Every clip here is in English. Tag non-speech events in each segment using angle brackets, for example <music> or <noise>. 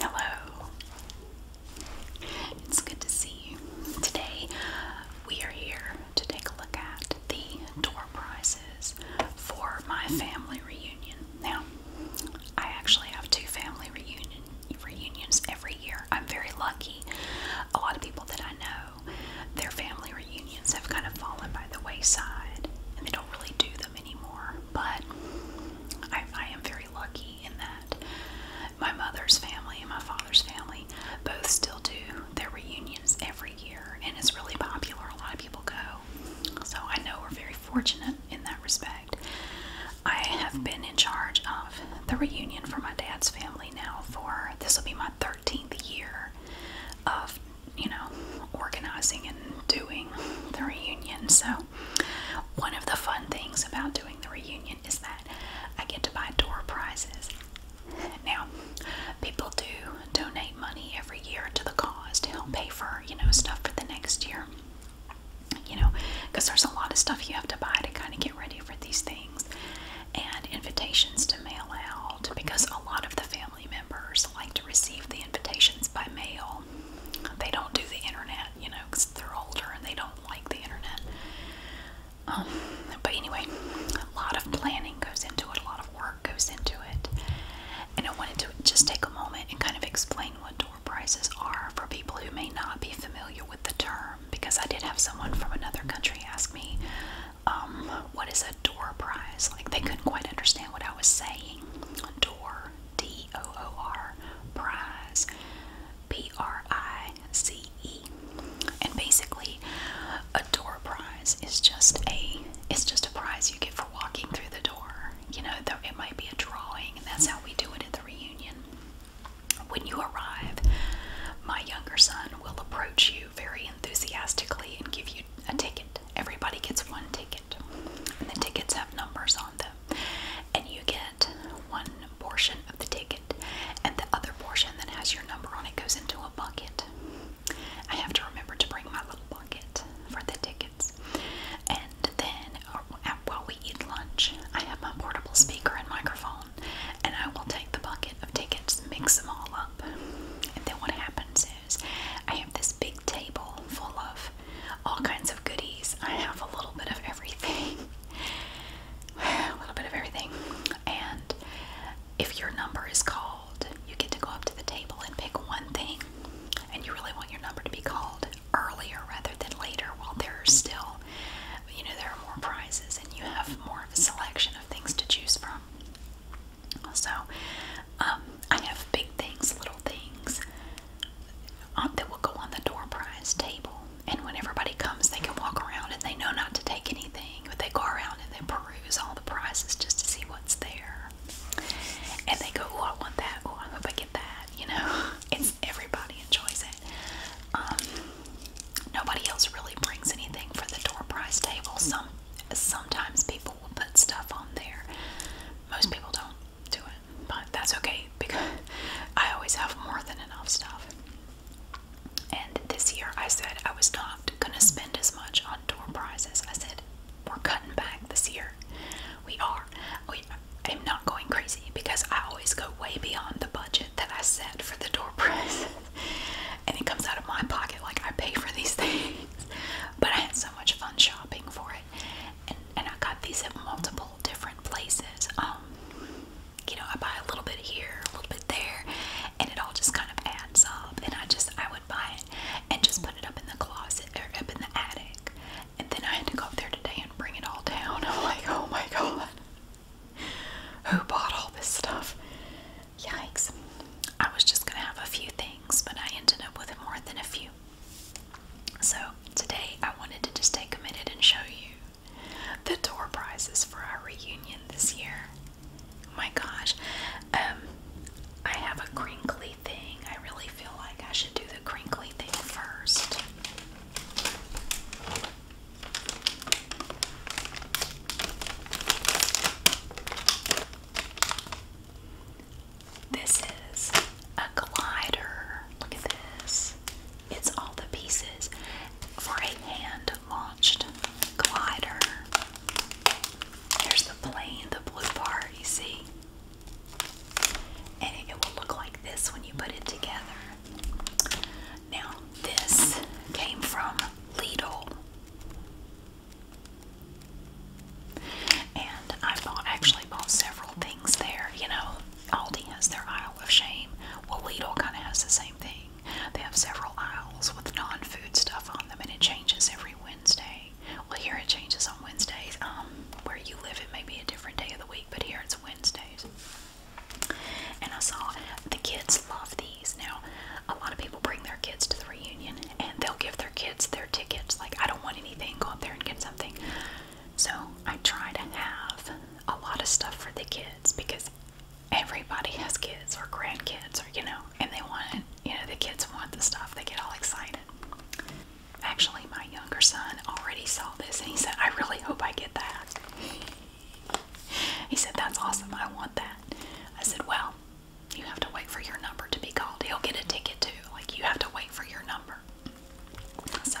Hello. It's good to see you. Today we are here to take a look at the door prices for my family reunion. Now, I actually have two family reunion reunions every year. I'm very lucky. A lot of people that I know, their family reunions have kind of fallen by the wayside and they don't really do them anymore. But I am very very lucky in that my mother's family and my father's family both still do their reunions every year, and it's really popular. A lot of people go. So I know we're very fortunate in that respect. I have been in charge of the reunion for my dad's family now for this will be my 13th year of, you know, organizing and doing the reunion. So out. One of the fun things about doing the reunion is that I get to buy door prizes. Now, people do donate money every year to the cause to help pay for, you know, stuff for the next year. You know, because there's a lot of stuff you have to buy to kind of get ready for these things, and invitations to mail out because a lot of the family members like to receive the invitations by mail. They don't do the internet, internet, you know, because they're older and they don't like the internet. Um, but anyway, a lot of planning goes into it, a lot of work goes into it. And I wanted to just take a moment and kind of explain what door prizes are for people who may not be familiar with the term, because I did have someone from another country ask me, um, what is a door prize? Like they couldn't quite understand what I was saying. Door T O O R prize P R I C E. And basically a door prize is just a it's just a prize you get for walking through the door. You know, it might be a drawing and that's how we do it at the reunion. When you arrive, my younger son will approach you very enthusiastically and give you a ticket. Everybody gets one ticket. And the tickets have numbers on them and you get one portion of the ticket, and the other portion that has your number on it goes into a bucket. I have to remember to bring my little bucket for the tickets. And then uh, while we eat lunch, I have my portable speaker and microphone, and I will take the bucket of tickets, mix them all up. And then what happens is I have this big table full of all kinds of goodies. I have a little bit of everything. <laughs> a little bit of everything. And if your number is called, you get to go up to the table and pick one thing. And you really want your number to be called earlier rather than later while there are still, you know, there are more prizes and you have more of a selection of things to choose from. So, um, I have big things, little things, um, uh, that will go on the door prize table. And when everybody comes, they can walk around and they know not to take anything, but they go around and they peruse all the prizes just to see what's there. And they go, oh, I want that. Oh, I hope I get that. You know, <laughs> it's everybody enjoys it. Um, nobody else really brings anything for the door prize table. Some sometimes people will put stuff on there. Most people don't to it, but that's okay because I always have more than enough stuff. And this year I said I was not going to spend as much on door prizes. I said, we're cutting back this year. We are. We, I'm not going crazy because I always go way beyond the budget that I set for the door <laughs> prizes. and it comes out of my pocket like I pay for these <laughs> things. But I had so much fun shopping for it. And, and I got these at multiple different places. Um, you know, I buy a little bit here, a little bit there, and it all just kind of adds up. And I just, I would buy it and just put it up in the closet or up in the attic. And then I had to go up there today and bring it all down. <laughs> I'm like, oh my god, who bought all this stuff? Yikes. I was just gonna have a few things, but I ended up with more than a few. So, today I wanted to just take a minute and show you the door prizes for our reunion this year. Oh my gosh. Um, I have a crinkly thing. I really feel like I should do the crinkly thing first. This is a glider. Look at this. It's all the pieces for a hand launched glider. There's the plane, the blue part, you see? And it will look like this when you put it together. Now, this came from Lidl. And I bought, actually, actually bought several things there. You know, Aldi has their aisle of shame. Well, Lidl kind of has the same thing. They have several aisles with non-food stuff on them, and it changes every Wednesday. Well, here it changes on Wednesdays. Um, where you live, it may be a different day of the week, but here it's Wednesdays. And I saw the kids love these. Now, a lot of people bring their kids to the reunion, and they'll give their kids their tickets. Like, I don't want anything. Go up there and get something. So I try to have a lot of stuff for the kids because everybody has kids or grandkids or you know, and they want you know the kids want the stuff. They get all excited. Actually, my younger son already saw this and he said, "I really hope I get that." He said, "That's awesome. I want that." I said, "Well." You have to wait for your number to be called. He'll get a ticket too. Like, you have to wait for your number. So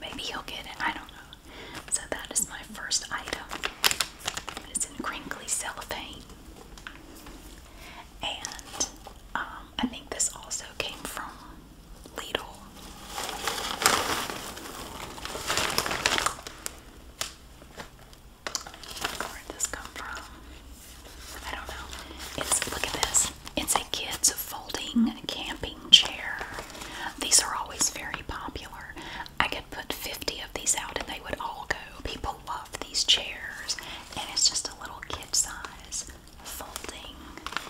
maybe he'll get it. I don't know. So that is my first item. It's in crinkly cellophane. And um, I think this also came from Lidl. Where'd this come from? I don't know. It's look at this. It's a kids folding camping chair. These are always very popular. I could put 50 of these out and they would all go. People love these chairs. And it's just a little kid size folding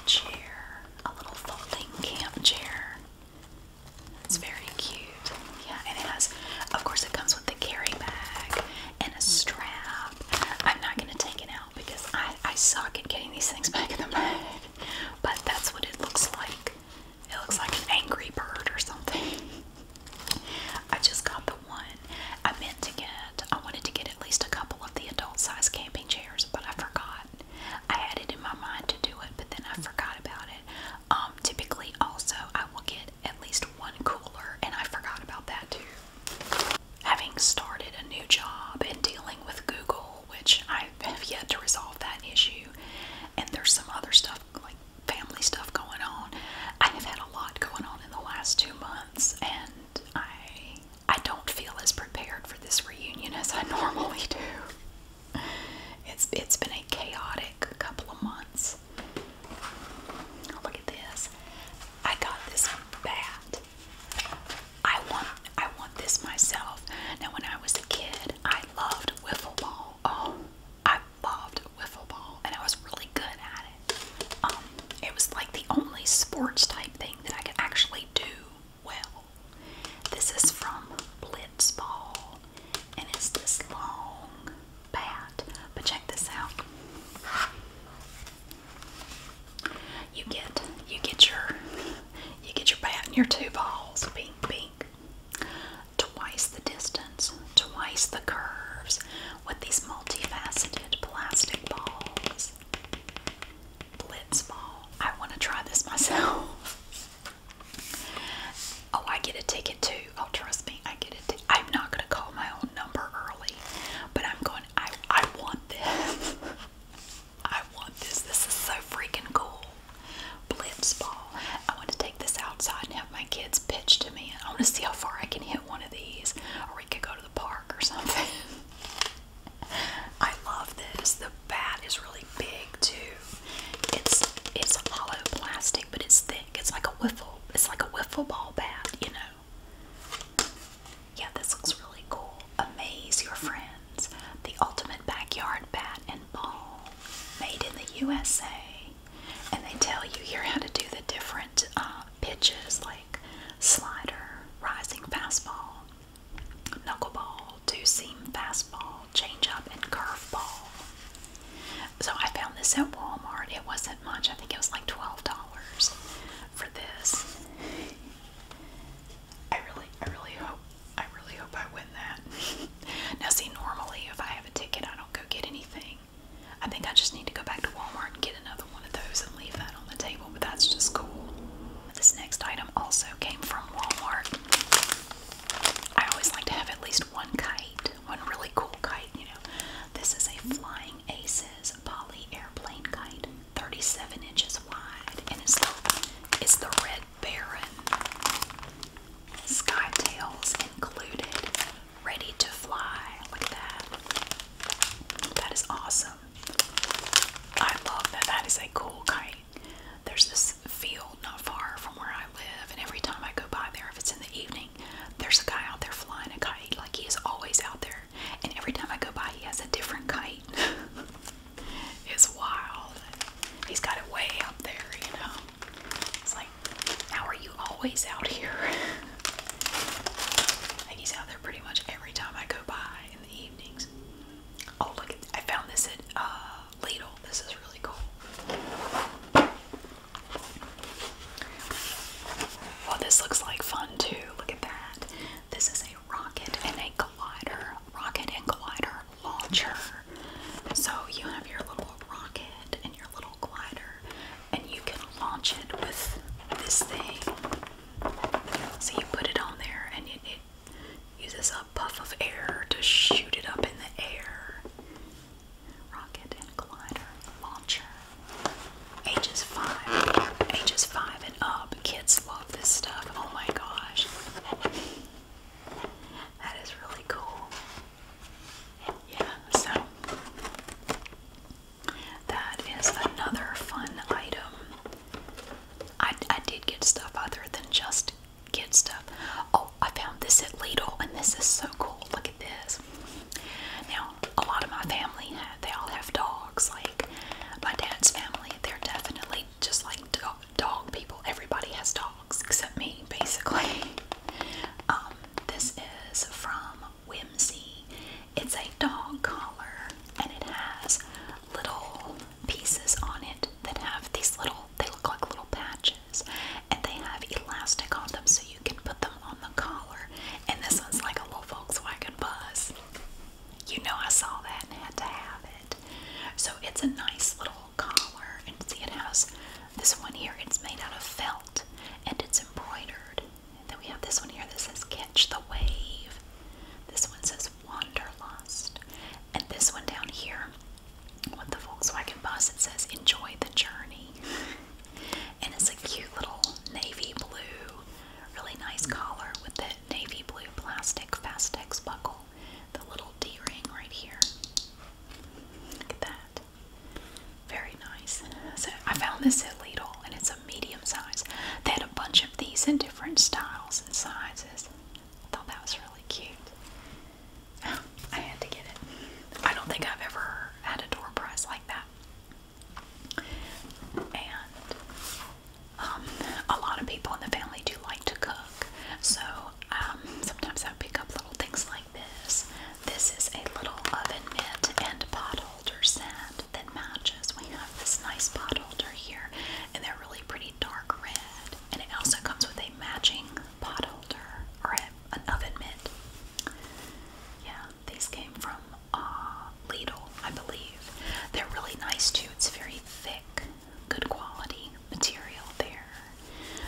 chair. A little folding camp chair. It's very cute. Yeah, and it has, of course, it comes with a carry bag and a strap. I'm not going to take it out because I, I suck at getting these things back in the bag. But that's what it looks like. It looks like an angry bird or something. I just got the one I meant to get. I wanted to get at least a couple of the adult size camping chairs, but I forgot. I had it in my mind to do it, but then I forgot about it. Um, typically, also, I will get at least one cooler, and I forgot about that too. Having started a new job and dealing with Google, which I have yet to resolve that issue, and there's some other stuff like family stuff going on, I have had a lot going on in the last two months, and I I don't feel as prepared for this reunion as I <laughs> normally do. It's it's been a chaotic couple of months. Look at this. I got this bat I want I want this myself. Now when I was a kid, I loved wiffle ball. Oh, I loved wiffle ball and I was really good at it. Um, it was like the only sports type thing that I could actually do well. This is from Blitzball and it's this long bat. But check this out. You get you get your you get your bat and your two balls, pink, pink. Twice the distance, twice the curves with these multifaceted plastic balls. Blitzball. I want to try this <laughs> myself. Oh, I get a ticket too. Oh, trust me, I get a ticket. I'm not gonna call my own number early, but I'm going I, want this. <laughs> I want this. This is so freaking cool. Blitz ball. I want to take this outside and have my kids pitch to me. I want to see how far I can hit one of these. Or we could go to the park or something. <laughs> I love this. The bat is really big too. It's it's hollow plastic, but it's thick. It's like a wiffle. It's like a wiffle ball bat, you know. Yeah, this looks really cool. Amaze your friends. The ultimate backyard bat and ball made in the USA. And they tell you here how to do the different uh, pitches like slider, rising fastball, knuckleball, two seam fastball, changeup, and curveball. So I found this at Walmart. It wasn't much. I think it was like $12 for this. I really, I really hope, I really hope I win that. <laughs> now, see, normally if I have a ticket, I don't go get anything. I think I just need to go back to Walmart and get another one of those and leave that on the table, but that's just cool. This next item also came from Walmart. I always like to have at least one kite, one really cool kite, you know. This is a Flying Aces Poly Airplane Kite. 37 inches wide, and it's the, Red Baron. sky tails included, ready to fly. Look at that. That is awesome. I love that. That is a cool kite. There's this field not far from where I live, and every time I go by there, if it's in the evening, there's a guy out there flying a kite. Like he is always out there and every time I go by, he has a different kite. <laughs> it's wild. He's got it way up there, you know. It's like, how are you always out here? And <laughs> he's out there pretty much every time I go by in the evenings. Oh look, I found this at uh, Lidl. This is really cool. Well, this looks like fun too. Look at that. This is a rocket and a collider, rocket and collider launcher. So you have your little rocket and your little glider, and you can launch it with this thing. So you put it on there, and it, it uses a puff of air to shoot it up in the air. Rocket and glider launcher ages five, ages five and up. Kids love this stuff. Oh my gosh, that is really cool. Yeah, so that is another fun item. I, I did get stuff other than just kid stuff. Oh, I found this at Lidl, and this is so cool. Look at this. Now, a lot of my family, they all have dogs. Like, my dad's family, they're definitely just like dog, dog people. Everybody has dogs except me, basically. <laughs> Um, this is from Whimsy. It's a dog collar and it has little pieces on it that have these little, they look like little patches and they have elastic on them so you can put them on the collar. And this one's like a little Volkswagen bus you know I saw that and had to have it. So it's a nice little collar, and see it has this one here. It's made out of felt, and it's embroidered. And then we have this one here that says "Catch the Wave." This one says "Wanderlust," and this one down here with the Volkswagen bus it says "Enjoy the Journey." and it's a cute little navy blue Really nice collar with the navy blue plastic Fastex buckle. The little D ring right here. Look at that. Very nice. So I found this at Lidl and it's a medium size. They had a bunch of these in different styles and sizes. I thought that was really cute. <laughs> I had to get it. I don't think I've ever had a door prize like that. And um, a lot of people in the family do like to cook, so um, sometimes I pick up little things like this. This is a little oven mitt and pot holder set that matches. We have this nice pot holder here, and they're really pretty dark red. And it also comes with a matching pot holder or an oven mitt. Yeah. These came from uh, Lidl, I believe. They're really nice too. It's very thick, good quality material there.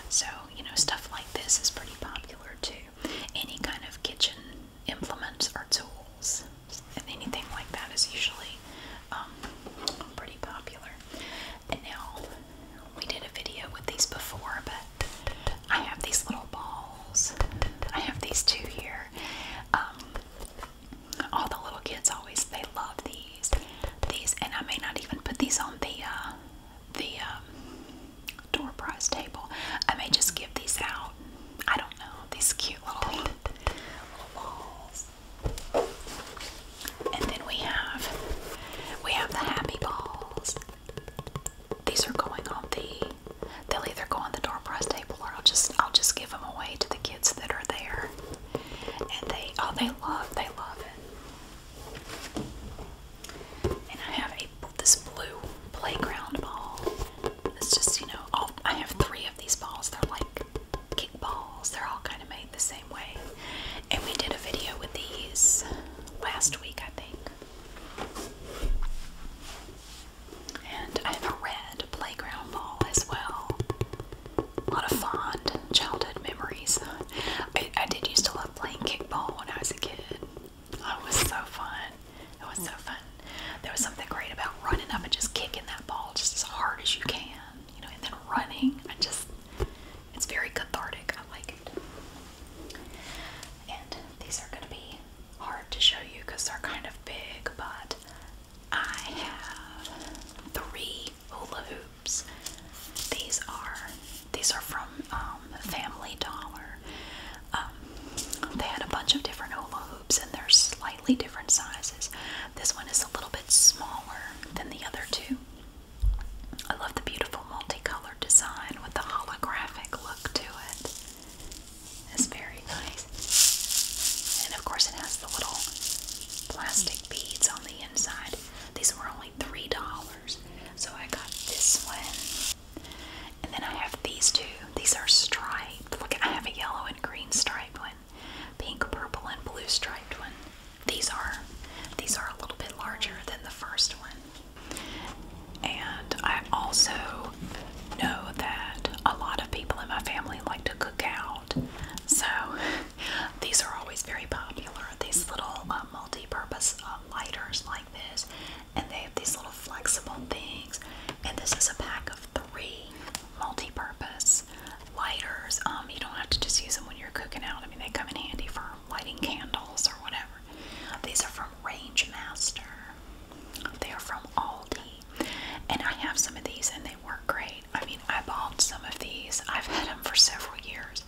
So, you know, stuff like this is pretty popular too. Any kind of kitchen implements or tools, and anything like that is usually um, pretty popular. And now, we did a video with these before, but I have these little balls. I have these two here. Um, all the little kids always they love these these and I may not even put these on the uh, the um, door prize table I may just give these out I don't know these cute little balls and then we have we have the happy balls these are going on the They'll either go on the door prize table or I'll just I'll just give them away to the kids that are there. And they oh they love they love it. And I have a this blue playground ball. It's just you know all, I have three of these balls. They're like kick balls. They're all kind of made the same way. And we did a video with these last week I think. And I have a red playground ball as well. A lot of fond childhood memories. I, I did used to love playing kickball when I was a kid. it was so fun. It was so fun. There was something great about running up and just kicking that ball just as hard as you can, you know, and then running. I just, it's very cathartic. I like it. And these are going to be hard to show you because they're kind of big, but I have three hula hoops. These are these are from um, Family Dollar. Um, they had a bunch of different hula hoops, and they're slightly different sizes. This one is a little bit smaller than the other two. I love the beautiful multicolored design with the holographic look to it is very nice. And of course, it has the little plastic beads on the inside. These were only $3. So I got this one. And then I have these two. These are striped. Look, I have a yellow and green striped one, pink, purple, and blue striped one. These are these are a little bit larger than the first one. And I also know that a lot of people in my family like to cook out. So <laughs> these are always very popular. These little uh, multi-purpose uh, lighters like this, and they have these little flexible things. And this is a pack of three multi-purpose lighters. Um, you don't have to just use them when you're cooking out. I mean, they come in handy for lighting candles or whatever. These are from Range Master. They are from Aldi. And I have some of these and they work great. I mean, I bought some of these, I've had them for several years,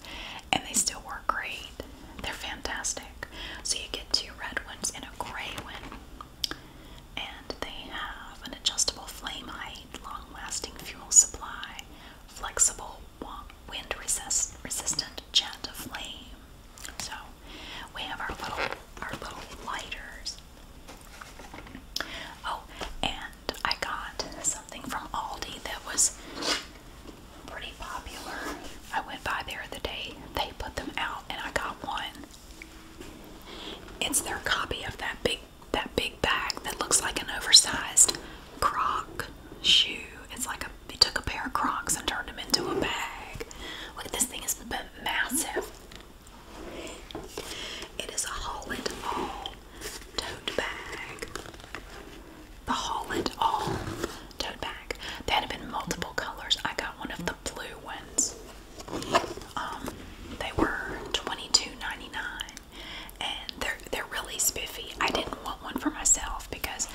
and they still work great. They're fantastic. So you get two red ones and a gray one. And they have an adjustable flame height, long lasting fuel supply, flexible wind resist resistant jet of flame, so we have our little our little lighters. Oh, and I got something from Aldi that was pretty popular. I went by there the day they put them out and I got one. It's their copy of that big that big bag that looks like an oversized croc shoe. It's like they took a pair of crocs and turned them into a bag. Look at this thing, it's massive. It is a Holland All tote bag. The Holland All tote bag. They had been multiple colors. I got one of the blue ones. Um, they were twenty two ninety nine, and they're they're really spiffy. I didn't want one for myself because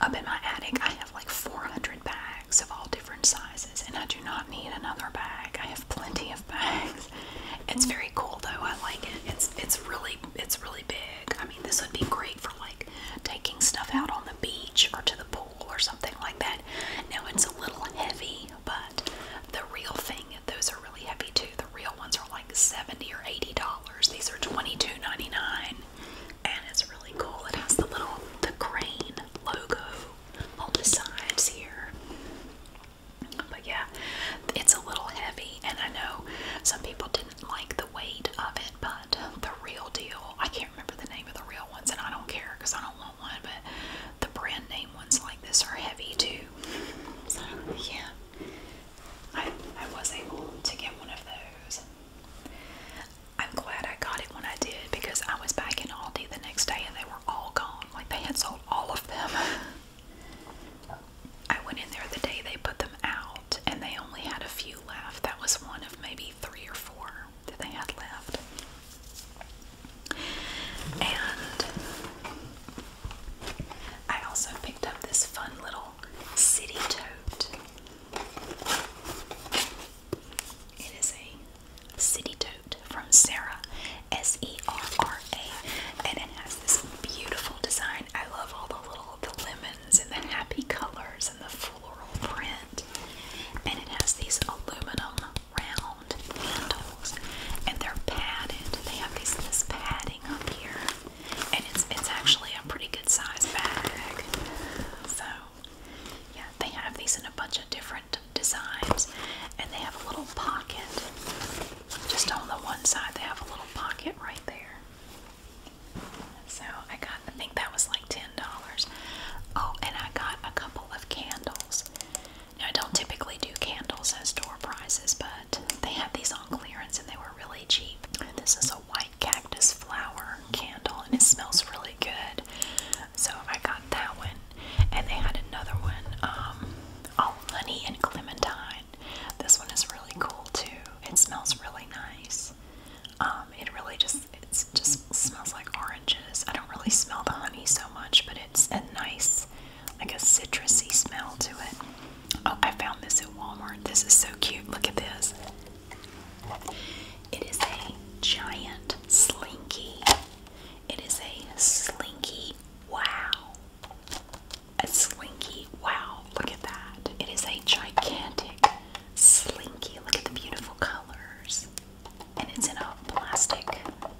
up in my attic I have like 400 bags of all different sizes, and I do not need another bag. I have plenty of bags. It's mm. very cool though. I like it. It's it's really it's really big. I mean, this would be great for like taking stuff out on the beach or to the pool or something like that. Now it's a little heavy, but the real thing those are really heavy too. The real ones are like seventy or eighty dollars. These are twenty two ninety nine, and it's really really cool. It has the little the crane logo on the sides here. But yeah, it's a little heavy, and I know some people didn't like the weight of it, but the real deal, I can't remember the name of the real ones, and I don't care because I don't want one, but the brand name ones like this are heavy too. yeah, I, I was able to get one of those. I'm glad I got it when I did because I was back in Aldi the next day and they were all gone. Like they had sold all of them. <laughs> I went in there the day they put them out and they only had a few left. That was one of maybe three or four that they had left. And I also picked up this fun little city tote. It is a City Tote from Sarah, S E R R A, and it has this beautiful design. I love all the little the lemons and the happy colors and the floral print. And it has these aluminum round handles, and they're padded. They have these this padding up here, and it's it's actually a pretty good size bag. So yeah, they have these in a bunch of different designs, and they have a little pocket. Just on the one side, they have a little pocket right there. So I got, I think that was like ten dollars. Oh, and I got a couple of candles. Now I don't typically do candles at store prices, but they had these on clearance and they were really cheap. This is a white cactus flower candle, and it smells really good. So I got that one, and they had another one, um, honey and clementine. This one is really cool too. It smells really nice. Um, it really just it just smells like oranges. I don't really smell the honey so much, but it's a nice, like a citrusy smell to it. Oh, I found this at Walmart. This is so cute. Look at this. It is a giant slinky. It is a slinky wow. A slinky wow. Look at that. It is a gigantic slinky. Look at the beautiful colors. And it's in a plastic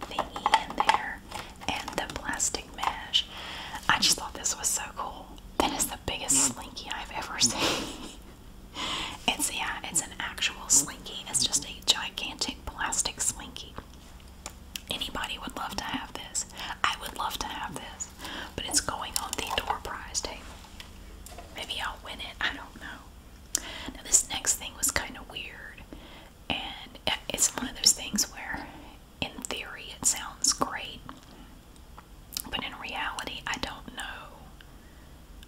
thingy in there. And the plastic mesh. I just thought this was so cool. That is the biggest slinky I've ever <laughs> seen. <laughs> It's yeah, it's an actual slinky. It's just a gigantic plastic slinky. Anybody would love to have this. I would love to have this. But it's going on the door prize table. Maybe I'll win it. I don't know. Now this next thing was kind of weird. And it's one of those things where in theory it sounds great. But in reality, I don't know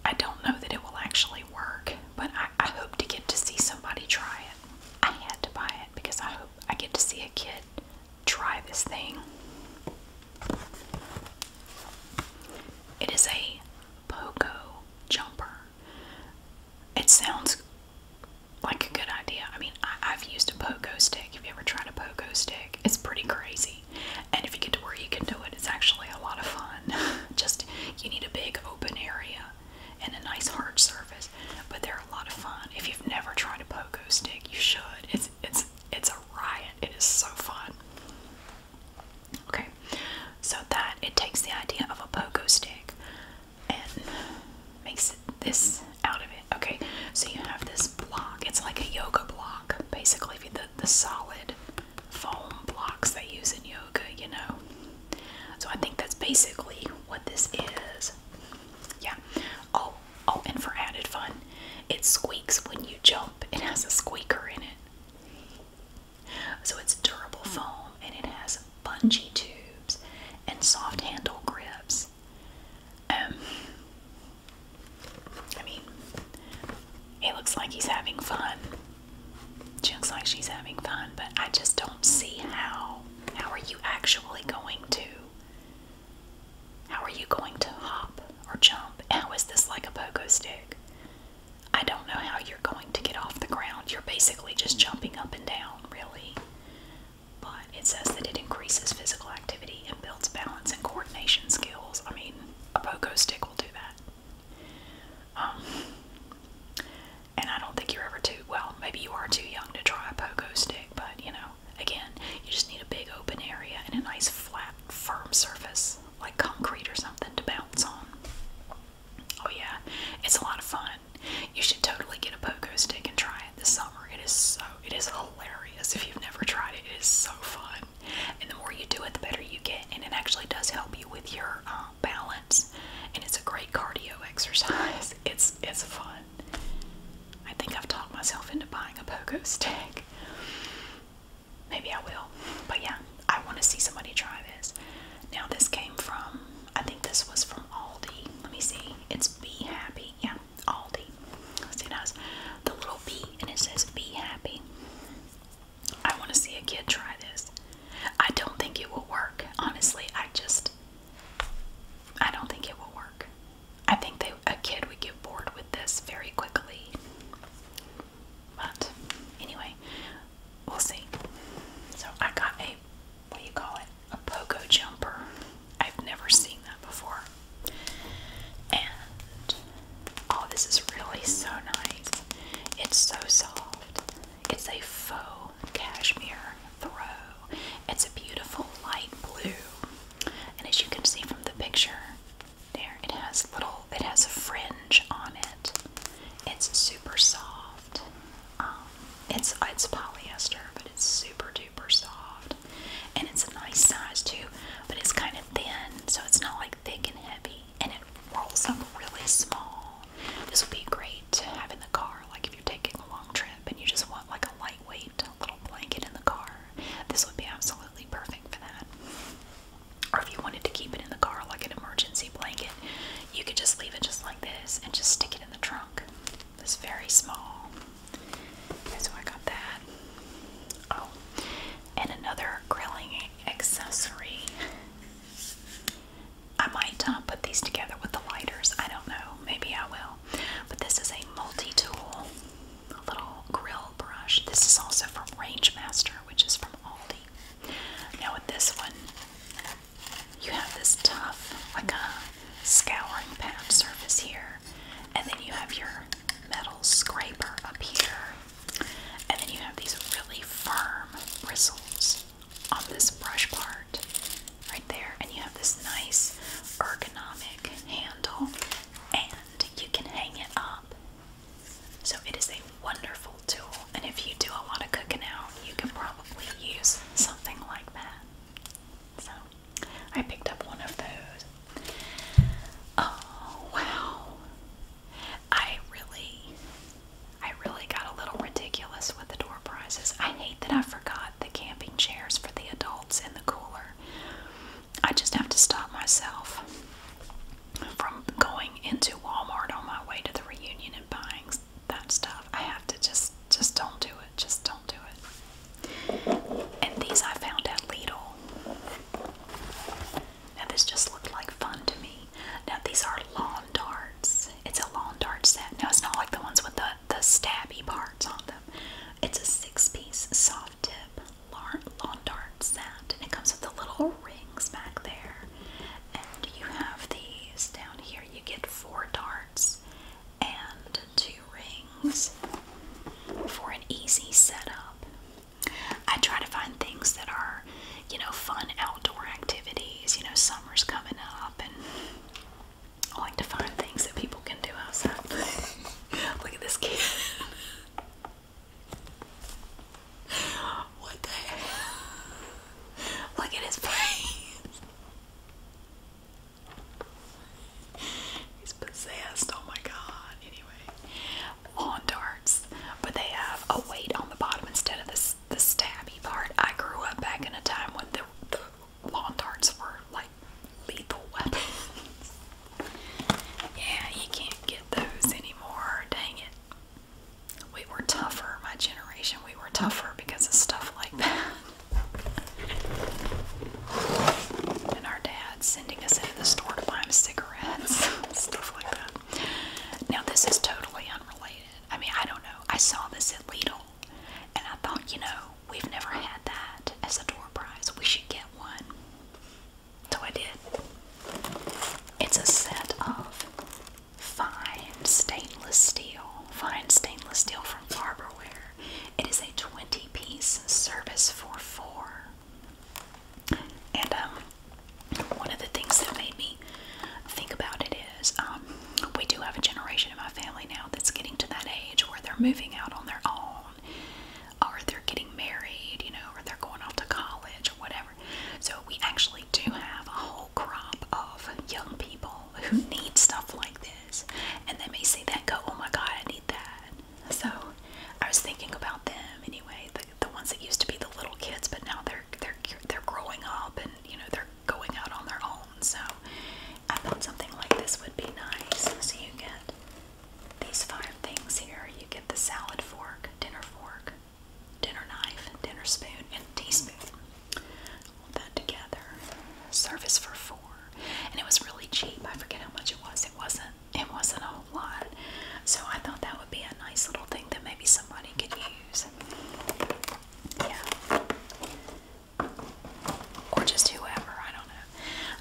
I don't know that it will actually work, but I, hope to get to see somebody try it. I had to buy it because I hope I get to see a kid try this thing. It is a Poco jumper. It sounds like a good idea. I mean, I, have used a Poco stick. Have you ever tried a Poco stick? It's pretty crazy. And if you get to where you can do it, it's actually a lot of fun. <laughs> Just you need a big open area and a nice hard surface, but they're a lot of fun. If you've never tried a pogo stick, you should. It's it's it's a riot. It is so fun. Okay, so that it takes the idea of a pogo stick and makes this out of it. Okay, so you have this block. It's like a yoga block, basically. The the solid foam blocks they use in yoga, you know. So I think that's basically what this is. Yeah. Oh, oh, and for added fun, it squeaks when you jump. It has a squeaker in it. So it's durable foam and it has bungee tubes and soft handle grips. Um I mean, he looks like he's having fun. She looks like she's having fun, but I just don't see how. How are you actually going to? How are you going to hop or jump? How is this like a pogo stick? I don't know how you're going to get off the ground. You're basically just jumping up and down, really. But it says that it increases physical activity and builds balance and coordination skills. I mean, a pogo stick will do that. Um, and I don't think you're ever too well. Maybe you are too young to try a pogo stick, but you know, again, you just need a big open area and a nice flat, firm surface like concrete or something to bounce on. Oh yeah, it's a lot of fun. You should totally get a pogo stick and try it this summer. It is so it is hilarious if you've never tried it. It is so fun and the more you do it the better you get and it actually does help you with your uh, balance and it's a great cardio <laughs> exercise it's it's fun i think i've talked myself into buying a pogo <laughs> stick maybe i will but yeah i want to see somebody try this now this came from i think this was from aldi let me see it's be happy yeah aldi see it has the little bee and it says be happy I want to see a kid try this. I don't think it will work. Honestly, I just I don't think it will work. I think they, a kid would get bored with this very quickly. But anyway, we'll see. So I got a what do you call it? A pogo jumper. I've never seen that before. And Oh, this is really so nice. It's so soft. It's a faux cashmere throw. It's a beautiful light blue. And as you can see from the picture, there it has little it has a fringe on it. It's super soft. Um, it's it's polyester, but it's super duper soft. And it's a nice size too, but it's kind of thin, so it's not like thick and heavy and it rolls up really small. This would be great to have in the car, like if you're taking a long trip and you just want like a lightweight little blanket in the car. This would be absolutely perfect for that. Or if you wanted to keep it in the car like an emergency blanket, you could just leave it just like this and just stick it in the trunk. It's very small. so I got that. Oh, and another grilling accessory. I might uh, put these together with the lighters. I don't know. Maybe I will. But this is a multi tool, little grill brush. This is also from Rangemaster, which is from Aldi. Now, with this one, you have this tough, like a scouring pad surface here, and then you have your metal scraper up here. And then you have these really firm bristles on this brush part right there. And you have this nice ergonomic handle and you can hang it up. So it is a wonderful tool. And if you do a lot of cooking out, you can probably use something like that. So I picked up one of those. Oh wow. I really, I really got a little ridiculous with the door prizes. I hate that I forgot the camping chairs for the adults and the cooler. I just have to stop myself from going into Walmart on my way to the reunion and buying that stuff. I have to just, just don't do it. Just don't do it. And these I found at Lidl. Now, just looked like fun to me. Now, these are lawn darts. It's a lawn dart set. Now, it's not like the ones with the, the stabby parts on them. It's a six piece soft tip lawn dart set, and it comes with the little rings back there. And you have these down here. You get four darts and two rings for an easy setup. I try to find things that are, you know, fun outdoor activities. You know, summer's coming up, and I like to find things that people can do outside. <laughs> Look at this kid. What the heck? Look at his face. He's possessed. Oh my god. Anyway, lawn darts, but they have a weight on the bottom instead of this the stabby part. I grew up back in a time when the, the lawn darts were like lethal weapons. <laughs> yeah, you can't get those anymore. Dang it. We were tougher, my generation. We were tougher because of stuff like that. <laughs> and our dad's sending us into the store to buy him cigarettes, <laughs> stuff like that. Now, this is totally unrelated. I mean, I don't know. I saw this at Lidl and I thought, you know, we've never had that as a door prize. We should get one. So I did. It's a set of fine stainless steel, fine stainless steel from Farberware. It is a 20 piece service for four. And um, one of the things that made me think about it is um, we do have a generation in my family now that's getting to that age where they're moving out on their own, or they're getting married, you know, or they're going off to college or whatever. So we actually do have a whole crop of young people who need stuff like this, and they may see that go, "Oh my God, I need that." So I was thinking about them anyway the, the ones that used to be the little kids, but now they're they're they're growing up and you know they're going out on their own. So I thought something like this would be nice. So you get these five things here. You get the salad fork, dinner fork, dinner knife, dinner spoon, and teaspoon. Hold that together. Service for four, and it was really cheap. I forget how much it was. It wasn't it wasn't a whole lot. So I thought that would be a nice little thing that maybe somebody could use. Yeah. Or just whoever, I don't know.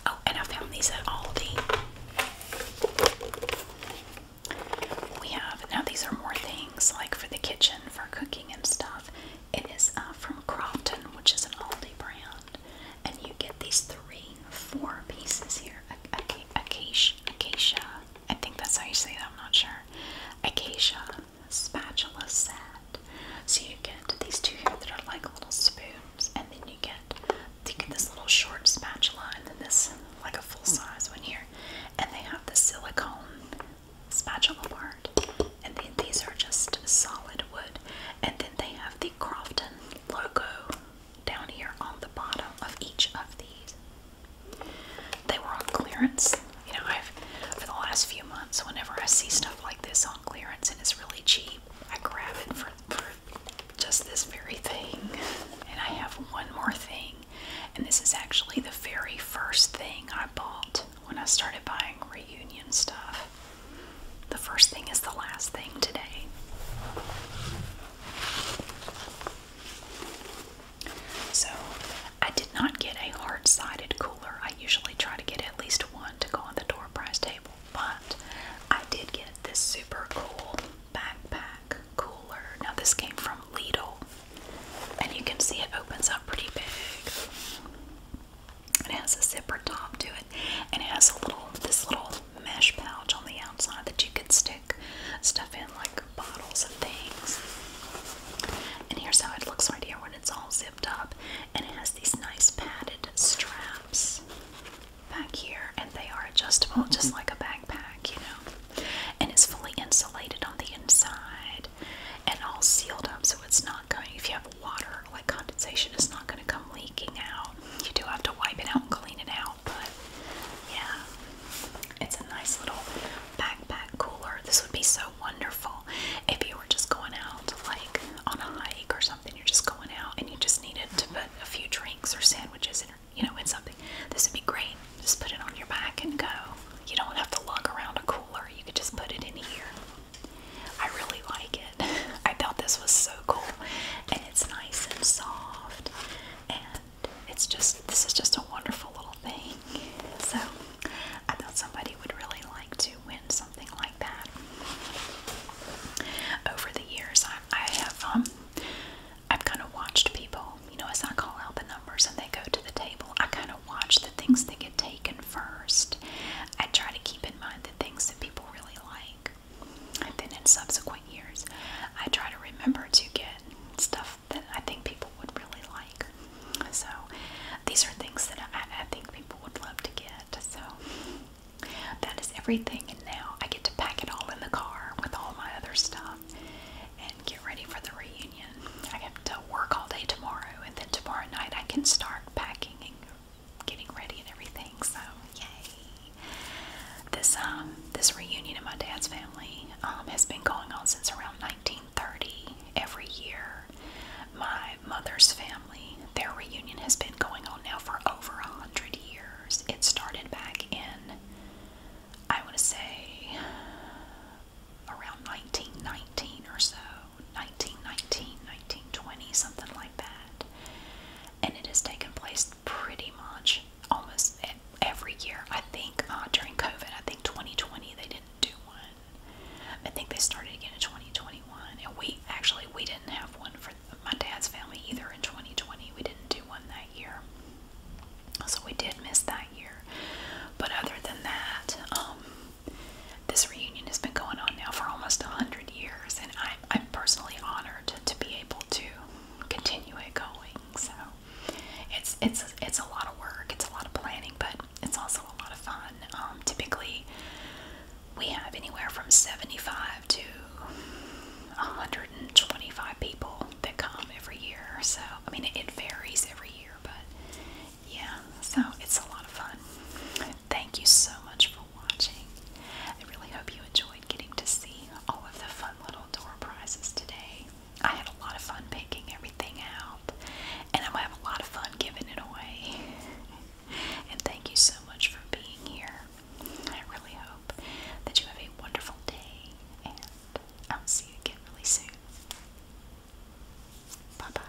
Oh, and I found these at Aldi. We have, now these are more things like for the kitchen, for cooking and stuff. It is uh, from Crofton, which is an Aldi brand. And you get these three, four pieces here. Acacia, acacia. I think that's how you say that. I'm not sure. Acacia spatula set. So you get these two here that are like little spoons, and then you get you get this little short spatula, and then this like a full size one here, and they have the silicone spatula part, and then these are just solid wood, and then they have the Crofton logo down here on the bottom of each of these. They were on clearance. You know, I've for the last few months, whenever I see stuff like this on clearance and it's really cheap, I grab it for, just this very thing. And I have one more thing, and this is actually the very first thing I bought when I started buying reunion stuff. The first thing is the last thing today. So, I did not get a hard sided cooler. I usually try to get at least one to go on the door prize table, but I did get this super cool backpack cooler. Now, this came from Lidl, and you can see it opens up pretty big. It has a zipper top to it, and it has a little this little mesh pouch on the outside that you could stick stuff in like bottles and things. And here's how it looks right here when it's all zipped up, and it has these nice padded straps back here, and they are adjustable just mm-hmm. like a backpack, you know. And it's fully insulated on the inside and all sealed up so it's not going if you have water like condensation it's not going to come leaking out. You do have to wipe it out and clean it out but yeah, it's a nice little backpack cooler. This would be so wonderful if you were just going out, like on a hike or something. You're just going out and you just needed to mm-hmm. put a few drinks or sandwiches in, you know, in something. This would be great. Just put it on your back and go. You don't have to lug around a cooler. You could just put it in here. I really like it. <laughs> I thought this was so cool, and it's nice and soft, and but it's just this is just a wonderful little thing. So I thought somebody would really like to win something like that. Over the years, I, I have um, I've kind of watched people. You know, as I call out the numbers and they go to the table, I kind of watch the things that get taken first. I try to keep in mind the things that people really like. And then in subsequent years, I try to remember to get stuff that I think people would really like. So these are things that I, think people would love to get. So that is everything. And now I get to pack it all in the car with all my other stuff and get ready for the reunion. I have to work all day tomorrow, and then tomorrow night I can start packing and getting ready and everything. So, yay! This um, this reunion of my dad's family um, has been going on since around 1930. Every year, my mother's family their reunion has been going on now for over a hundred years. It started back in I want to say around 1919 or so, 1919, 1920, something like that. And it has taken place is pretty much almost every year. I think uh, during COVID, I think 2020 they didn't do one. I think they started again in 2021, and we actually we didn't have one for my dad's family either in 2020. We didn't do one that year, so we did miss that year. But other than that, um, this reunion has been going on now for almost a hundred years, and I'm I'm personally honored to be able to continue it going. So it's it's it's a lot of work. It's a lot of planning, but it's also a lot of fun. Um, typically, we have anywhere from 75 to 125 people that come every year. So I mean, it, it varies every year, but yeah. So it's a lot of fun. Thank you so much for watching. I really hope you enjoyed getting to see all of the fun little door prizes today. I had a lot of fun picking everything out, and I'm gonna have a lot of fun giving it away. <laughs> and thank you so much for being here. I really hope that you have a wonderful day, and I'll see you again really soon. Bye bye.